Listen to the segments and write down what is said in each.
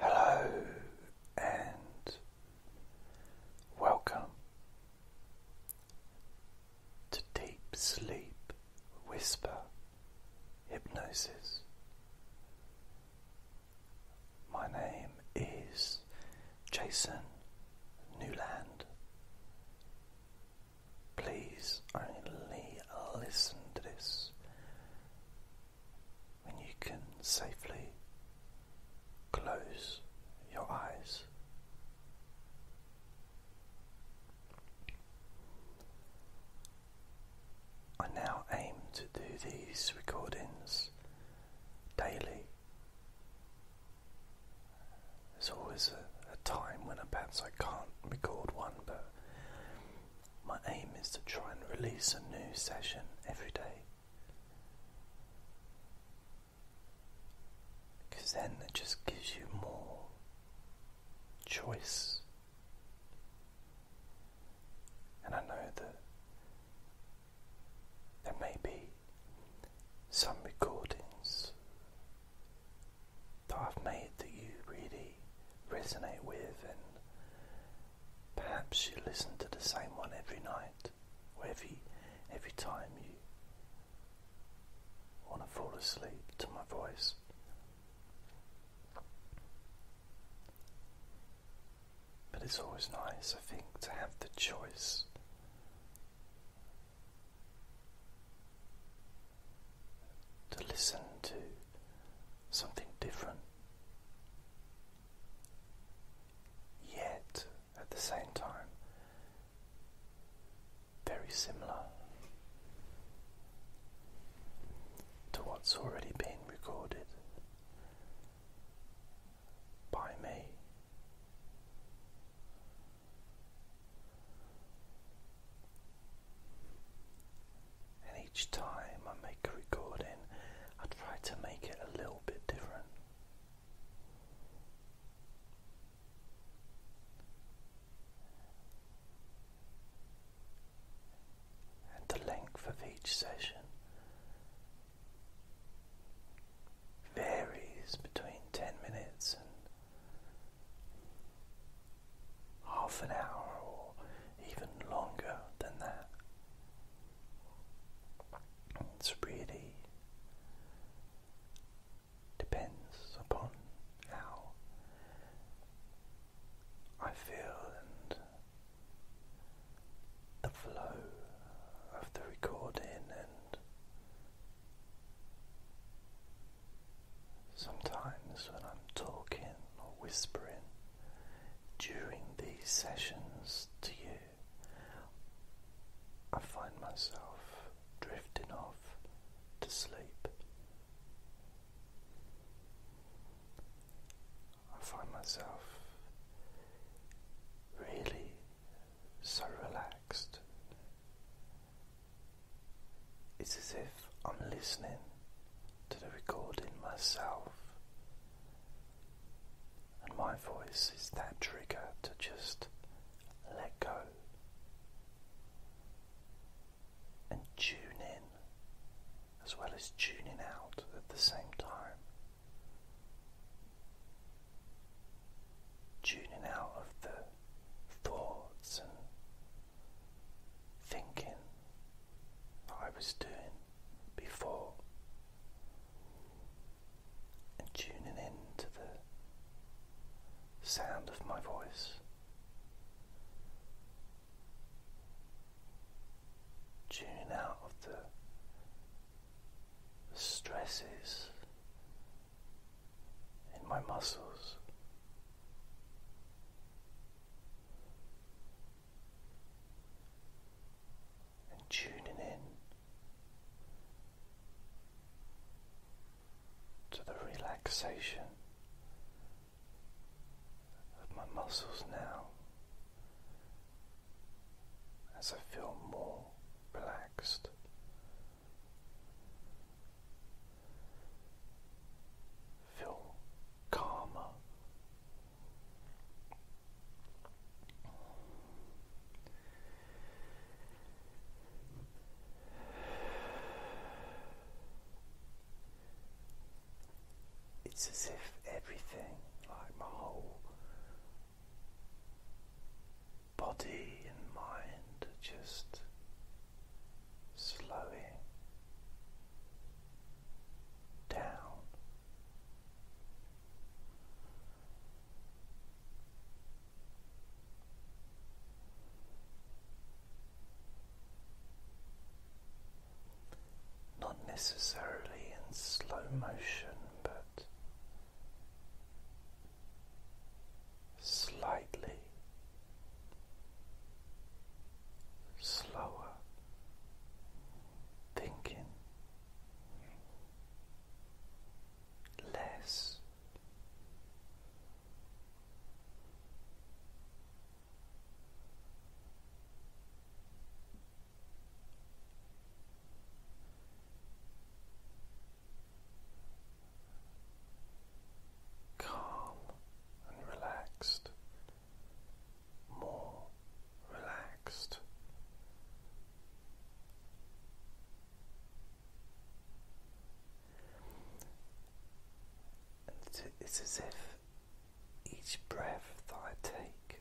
Hello and welcome to Deep Sleep Whisper Hypnosis. My name is Jason Newland. Please only listen to this and you can safely close your eyes. I now aim to do these recordings daily. There's always a, a time when perhaps I can't record one, but my aim is to try and release a new session every day. Because then it just gives you more choice. And I know that there may be some recordings that I've made that you really resonate with, and perhaps you listen to the same one every night or every, every time you want to fall asleep to my voice. But it's always nice, I think, to have the choice. To listen to something different. Yet, at the same time, very similar to what's already been recorded by me. And each time I make a recording, I try to make it a little bit different. And the length of each session varies between 10 minutes and half an hour or even longer than that. It's really depends upon how I feel and the flow of the recording and Sometimes when I'm talking or whispering during these sessions to you, I find myself drifting off to sleep. I find myself really so relaxed it's as if I'm listening to the recording myself, and my voice is that trigger to just let go and tune in as well as tuning out at the same time. Tuning out of the thoughts and thinking I was doing before and tuning in to the sound of my voice. Tuning out of the stresses in my muscles. And tuning in to the relaxation of my muscles now as I feel more relaxed Feel calmer. It's as if everything, like my whole body and mind, just slowing down. Not necessarily in slow motion, but slightly slower thinking, less calm and relaxed, more relaxed. it's as if each breath that I take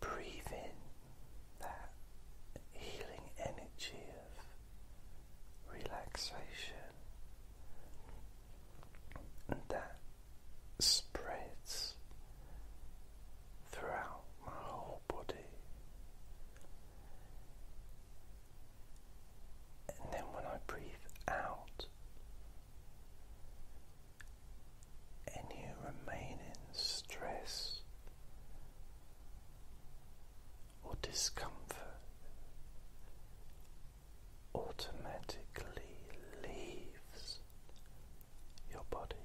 Breathe in that healing energy of relaxation, and that spreads throughout my whole body. And then when I breathe out, any remaining stress or discomfort automatically leaves your body.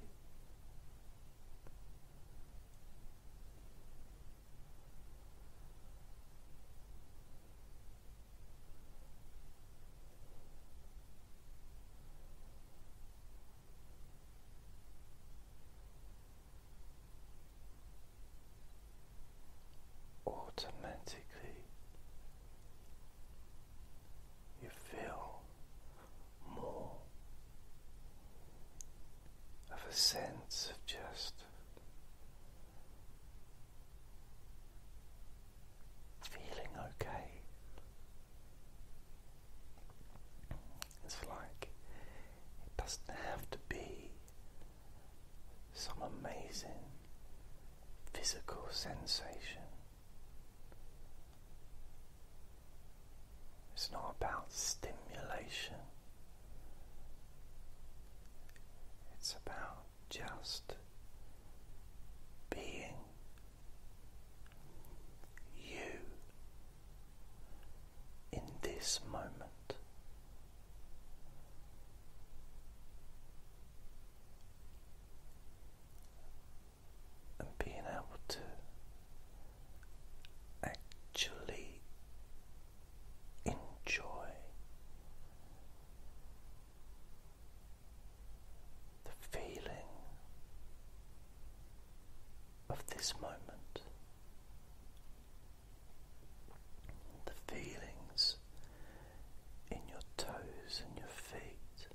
Automatically, you feel more of a sense of just feeling okay, it's like it doesn't have to be some amazing physical sensation. It's not about stimulation. It's about just being you in this moment. And being able to actually enjoy the feeling of this moment, the feelings in your toes and your feet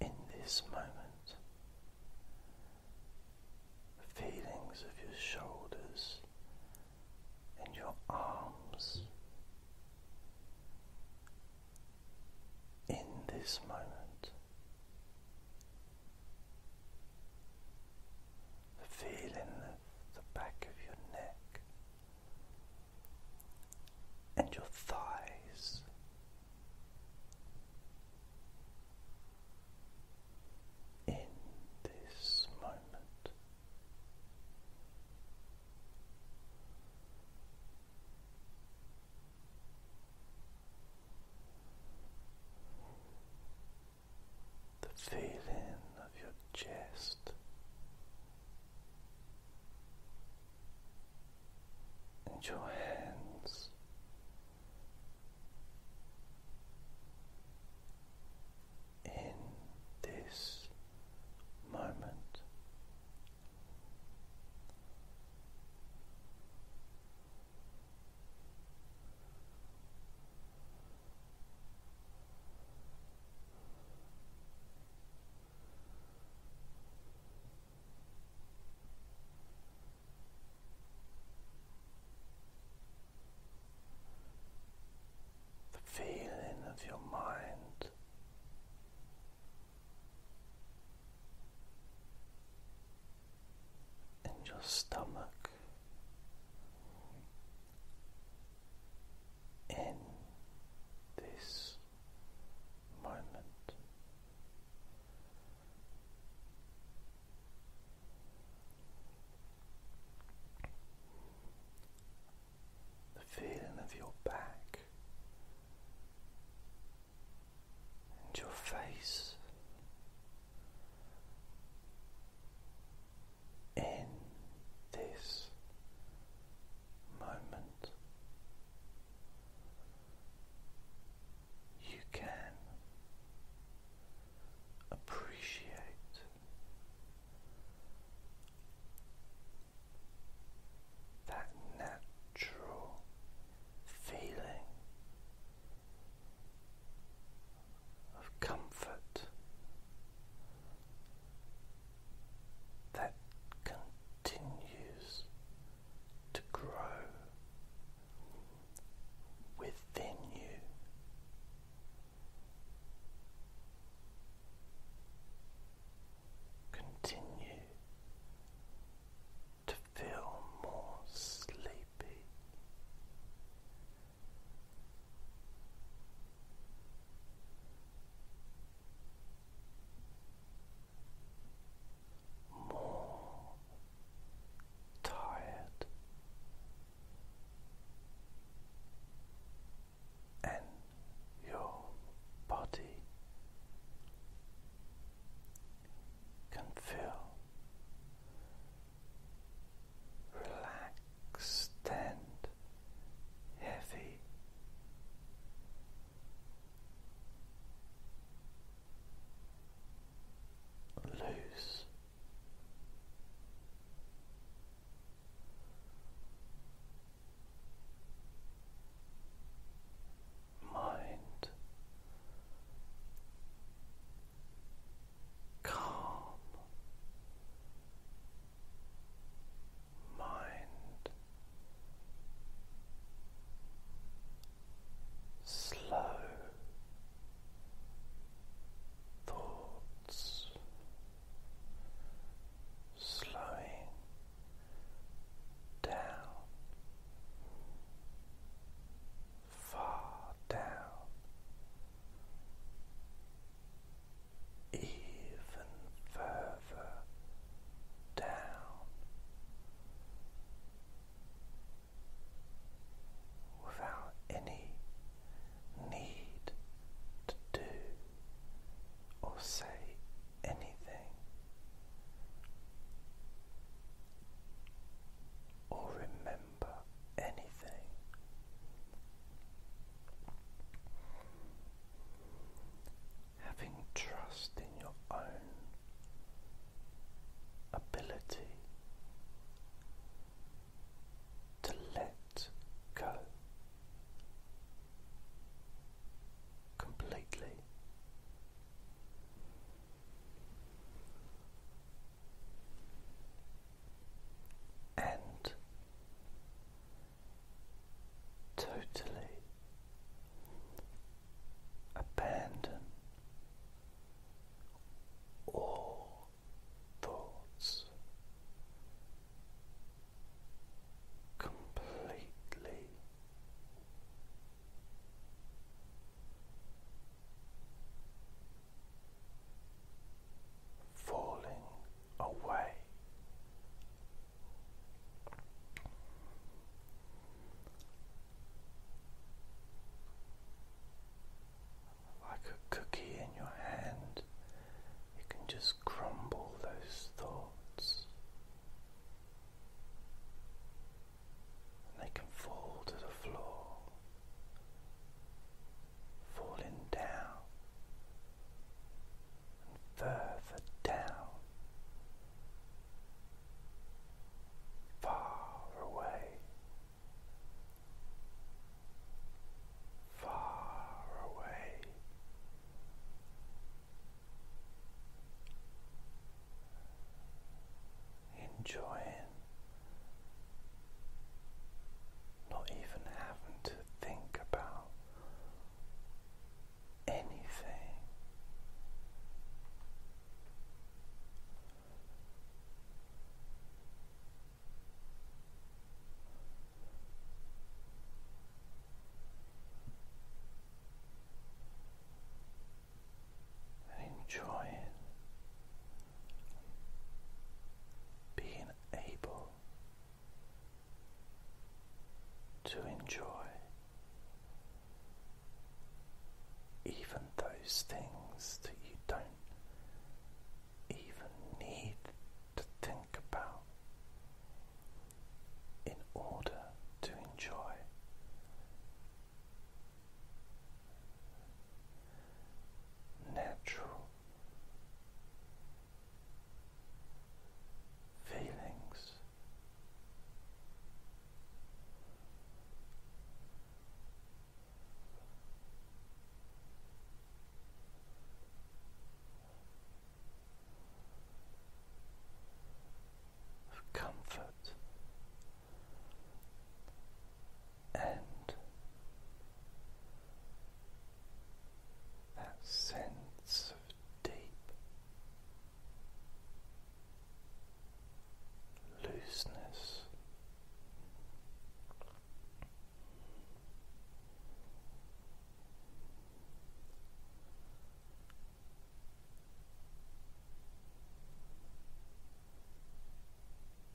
in this moment, the feelings of your shoulders and your arms in this moment, the feeling of the back of your neck and your thighs. In this moment, the feeling of your chest and your hands in this moment. The feeling of your mind in your stomach, in this moment the feeling of your back and your face in this moment. You can appreciate that natural feeling of comfort that continues to grow within you Continue to feel more sleepy. More tired, and your body can feel relaxed and heavy. Loose mind calm mind slow thoughts slowing down, far down, even further down. Without any need to do or say anything. Or remember anything. Having trust in your own ability to let go completely. And totally abandon all thoughts completely. Falling away, like a cookie in your hand, you can just crumble those thoughts. And they can fall to the floor, falling down and further down, far away far away. Enjoying not even having to think about anything, and being able to enjoy even those things that you don't even need to think about in order to enjoy. Natural feelings of comfort and that sense of deep looseness.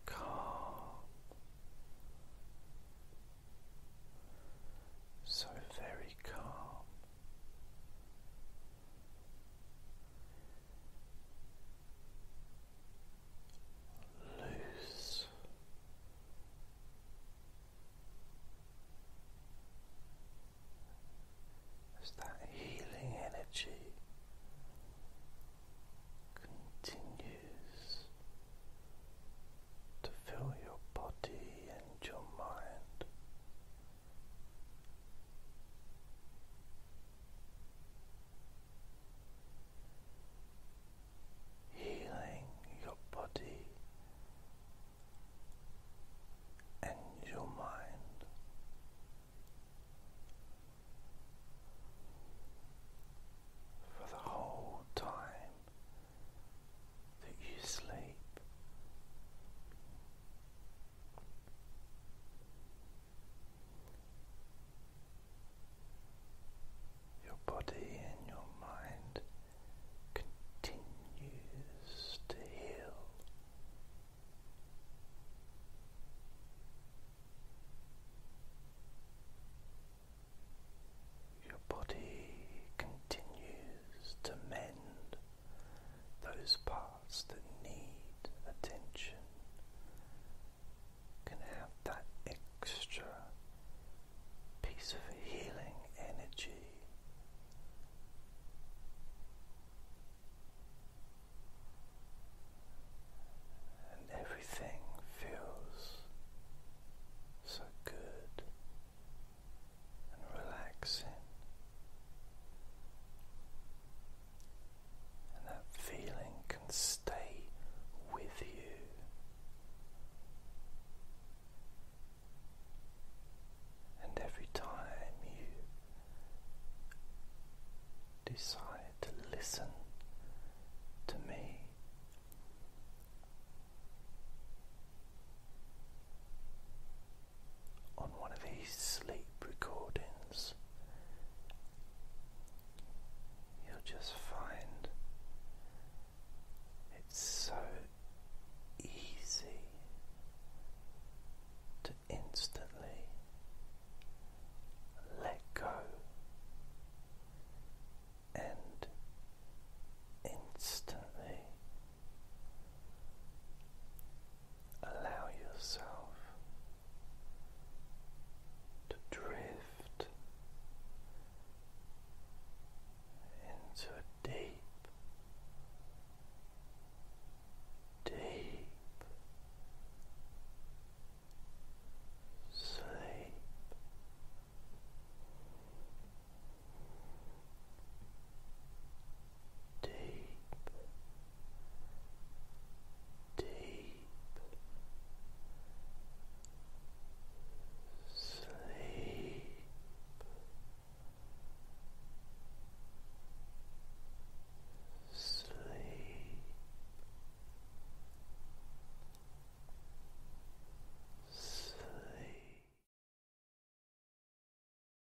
Calm, so very calm loose. As that healing energy continues to fill your body and your mind, healing your body and your mind. For the whole time that you sleep, your body and your mind continues to heal. Your body continues to mend those parts that need attention can have that extra piece of healing energy. And everything feels so good and relaxing and that feeling can stay with you. And every time you decide to listen to me, on one of these sleep recordings, you'll just find it's so easy to instantly let go and instantly allow yourself to drift into a deep, deep sleep deep, deep sleep. Sleep. Sleep.